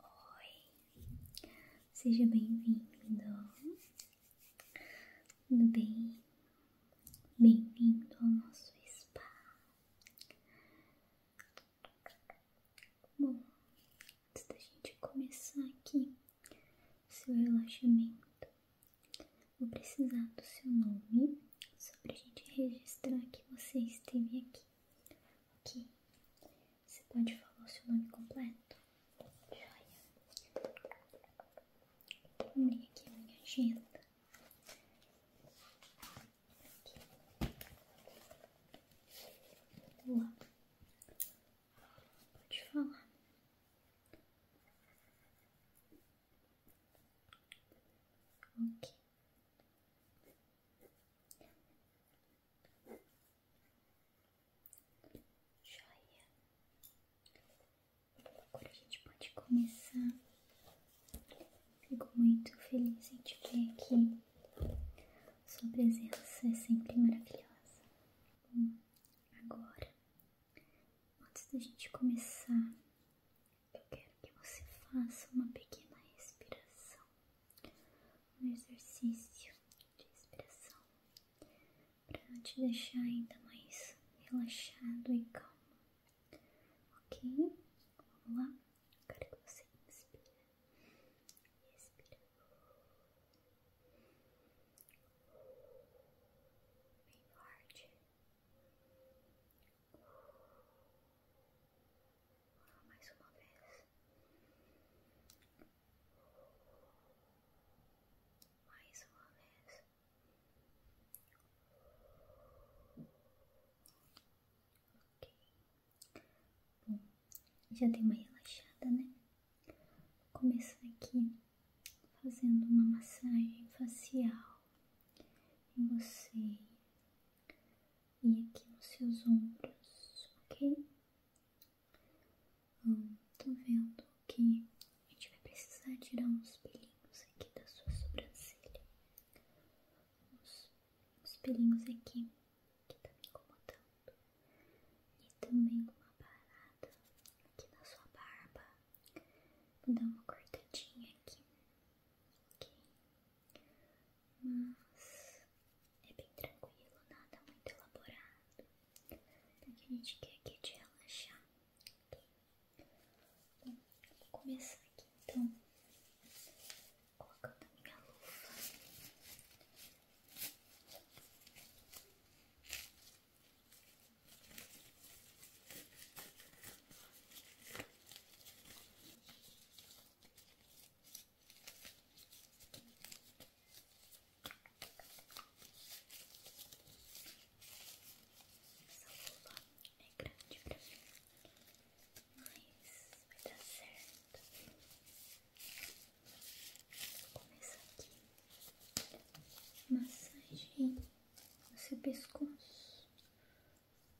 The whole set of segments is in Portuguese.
Oi, seja bem-vindo. Tudo bem? Bem-vindo ao nosso spa. Bom, antes da gente começar aqui seu relaxamento, vou precisar do seu nome só para a gente registrar que você esteve aqui. Aqui. Você pode falar o seu nome completo? Joia. Vou aqui minha agenda. Aqui. Pode falar. Joia. Agora a gente pode começar. Fico muito feliz em te ver aqui. Sua presença é sempre maravilhosa. Bom, agora, antes da gente começar eu quero que você faça uma pequena respiração, um exercício de respiração para te deixar ainda mais relaxado e calmo, ok? Vamos lá? Eu quero que você inspire, expire. Bem forte. Bem mais uma vez. Mais uma vez. Ok. Bom, já tem uma relaxada, né? Vou começar aqui fazendo uma massagem facial em você e aqui nos seus ombros, ok? Hum, tô vendo que a gente vai precisar tirar uns pelinhos aqui da sua sobrancelha. Uns, uns pelinhos aqui que tá me incomodando. E também com uma parada aqui na sua barba. Vou dar uma cortadinha aqui, ok? mas é bem tranquilo, nada muito elaborado, porque então, a gente quer aqui é te relaxar. Bom, vou começar aqui então, colocando a minha luva. Essa luva é grande pra mim, mas vai dar certo. Vou começar aqui. Massagem no seu pescoço.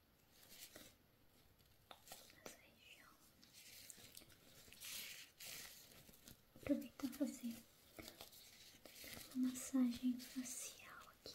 nessa Aproveitar fazer uma massagem facial aqui.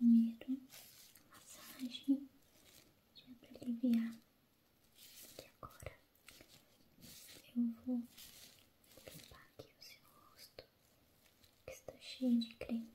Muito bem. Primeiro, massagem de aliviar. E agora eu vou limpar aqui o seu rosto que está cheio de creme.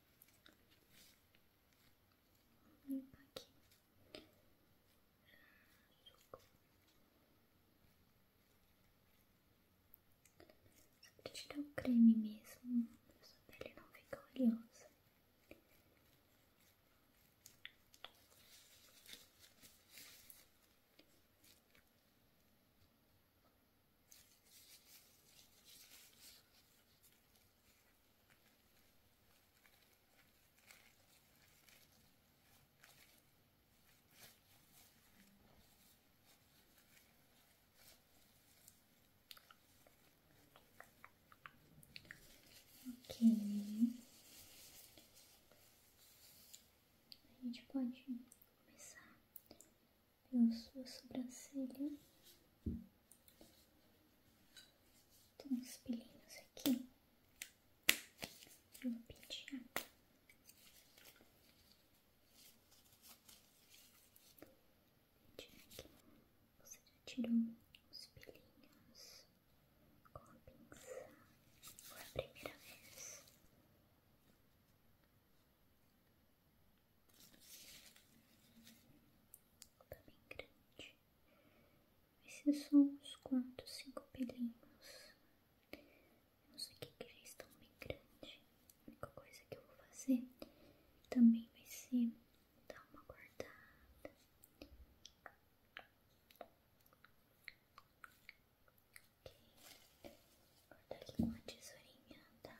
Vou limpar aqui. Só pra tirar um creme mesmo, pra sua pele não ficar oleosa. Ok. A gente pode começar pela sua sobrancelha. Tem uns pelinhos aqui. Eu vou pentear. aqui. Você já tirou os pelinhos com a pinça. Foi a primeira vez. Tá bem grande. Esses são uns quantos, cinco não sei o que já estão bem grande A única coisa que eu vou fazer também vai ser dar uma guardada Ok, cortar aqui com a tesourinha, tá?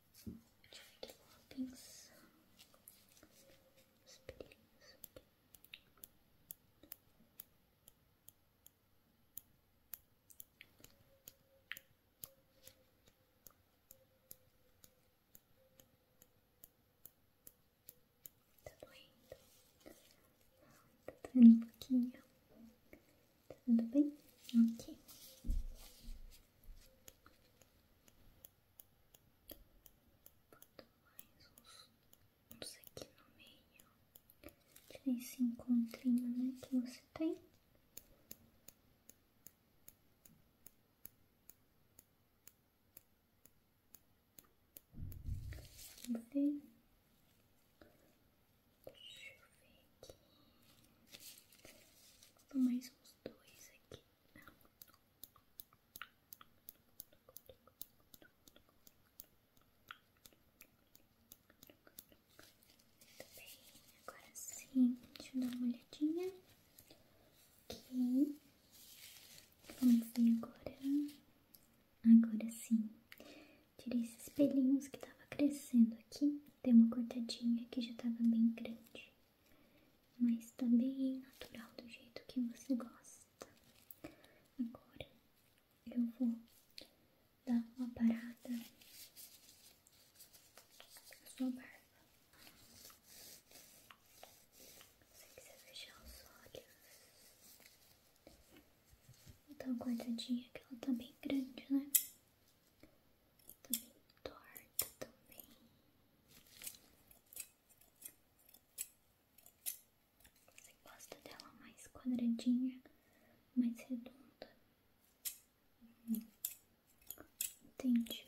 Deixa eu ver aqui, pinça. Os pelinhos aqui. Tá doendo? Tá doendo um pouquinho. Tá tudo bem? Ok. Boto mais uns, uns aqui no meio. Tirei esse encontrinho, né, que você tem. Vamos ver. Deixa eu ver aqui. Vou mais uns dois aqui agora sim, deixa eu dar uma olhadinha. Ok, vamos ver agora. Agora sim, tirei esses pelinhos que estavam crescendo aqui. Dei uma cortadinha que já estava bem grande mas tá bem é natural do jeito que você gosta. Agora eu vou dar uma parada na sua barba. Você quiser fechar os olhos. Vou dar uma guardadinha que ela tá bem grande, né? também bem torta também. Você gosta dela mais quadradinha, mais redonda? Uhum. Entendi.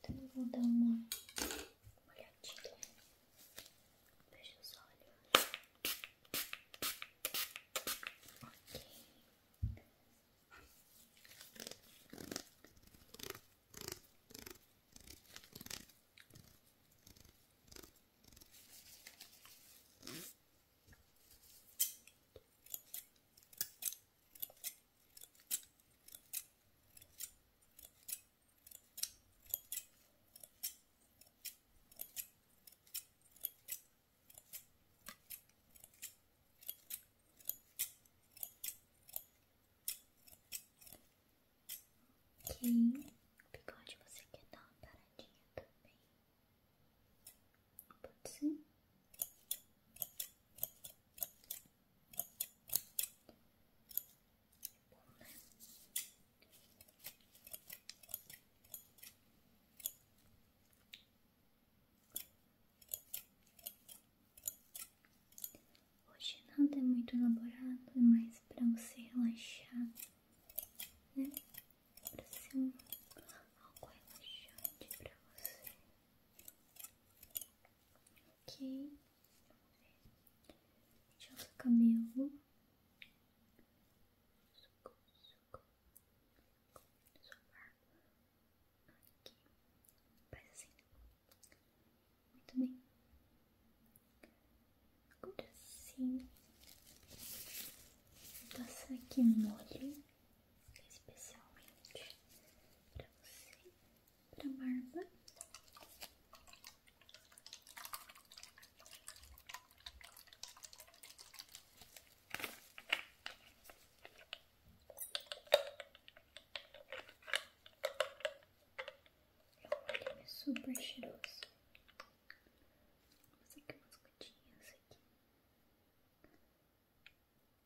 Então eu vou dar uma olhadinha. Fecha os olhos. Ok. Tá que bigode você quer dar uma paradinha também? Pode ser? Bom, né? Hoje nada é tá muito elaborado, é mais para você relaxar, né? Para ser um, algo relaxante para você. Ok. Deixa eu o cabelo. Socorro, socorro. Sua Aqui. Faz assim. Muito bem. Agora sim. Vou passar aqui molho especialmente para você, para barba. Olha, é super cheiroso. Vou fazer aqui umas gotinhas aqui.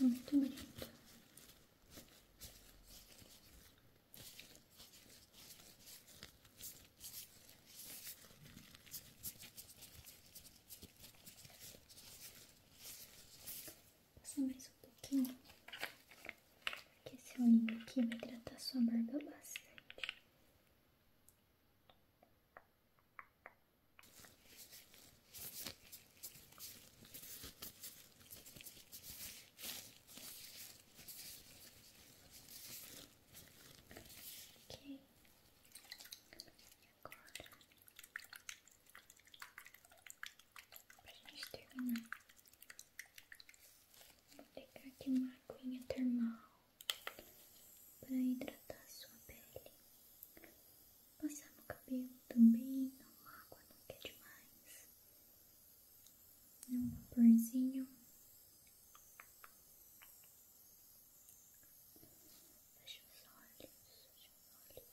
Muito bonito. Passa mais um pouquinho. Que esse olhinho aqui vai hidratar sua barba bastante. Ok, agora pra gente terminar Vou pegar aqui uma aguinha termal para hidratar a sua pele. Passar no cabelo também, não água não quer é demais. É um vaporzinho. Fecha os olhos, fecha os olhos.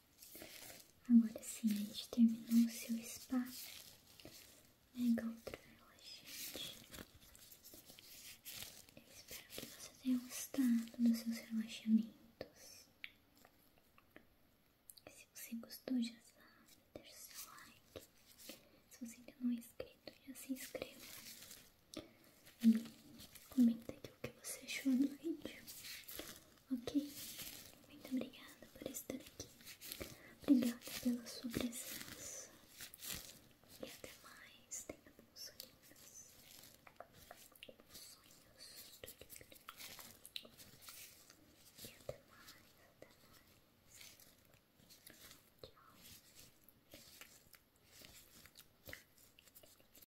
Agora sim, a gente terminou o seu spa. mega outra relaxante. Eu espero que você tenha gostado dos seus relaxamentos. Se você gostou, já sabe, deixa o seu like. Se você ainda não é inscrito, já se inscreva. E comenta aqui o que você achou do vídeo, ok? Muito obrigada por estar aqui, obrigada pela sua presença e até mais. Tenha bons sonhos, bons sonhos, tudo e até mais, até mais. Tchau.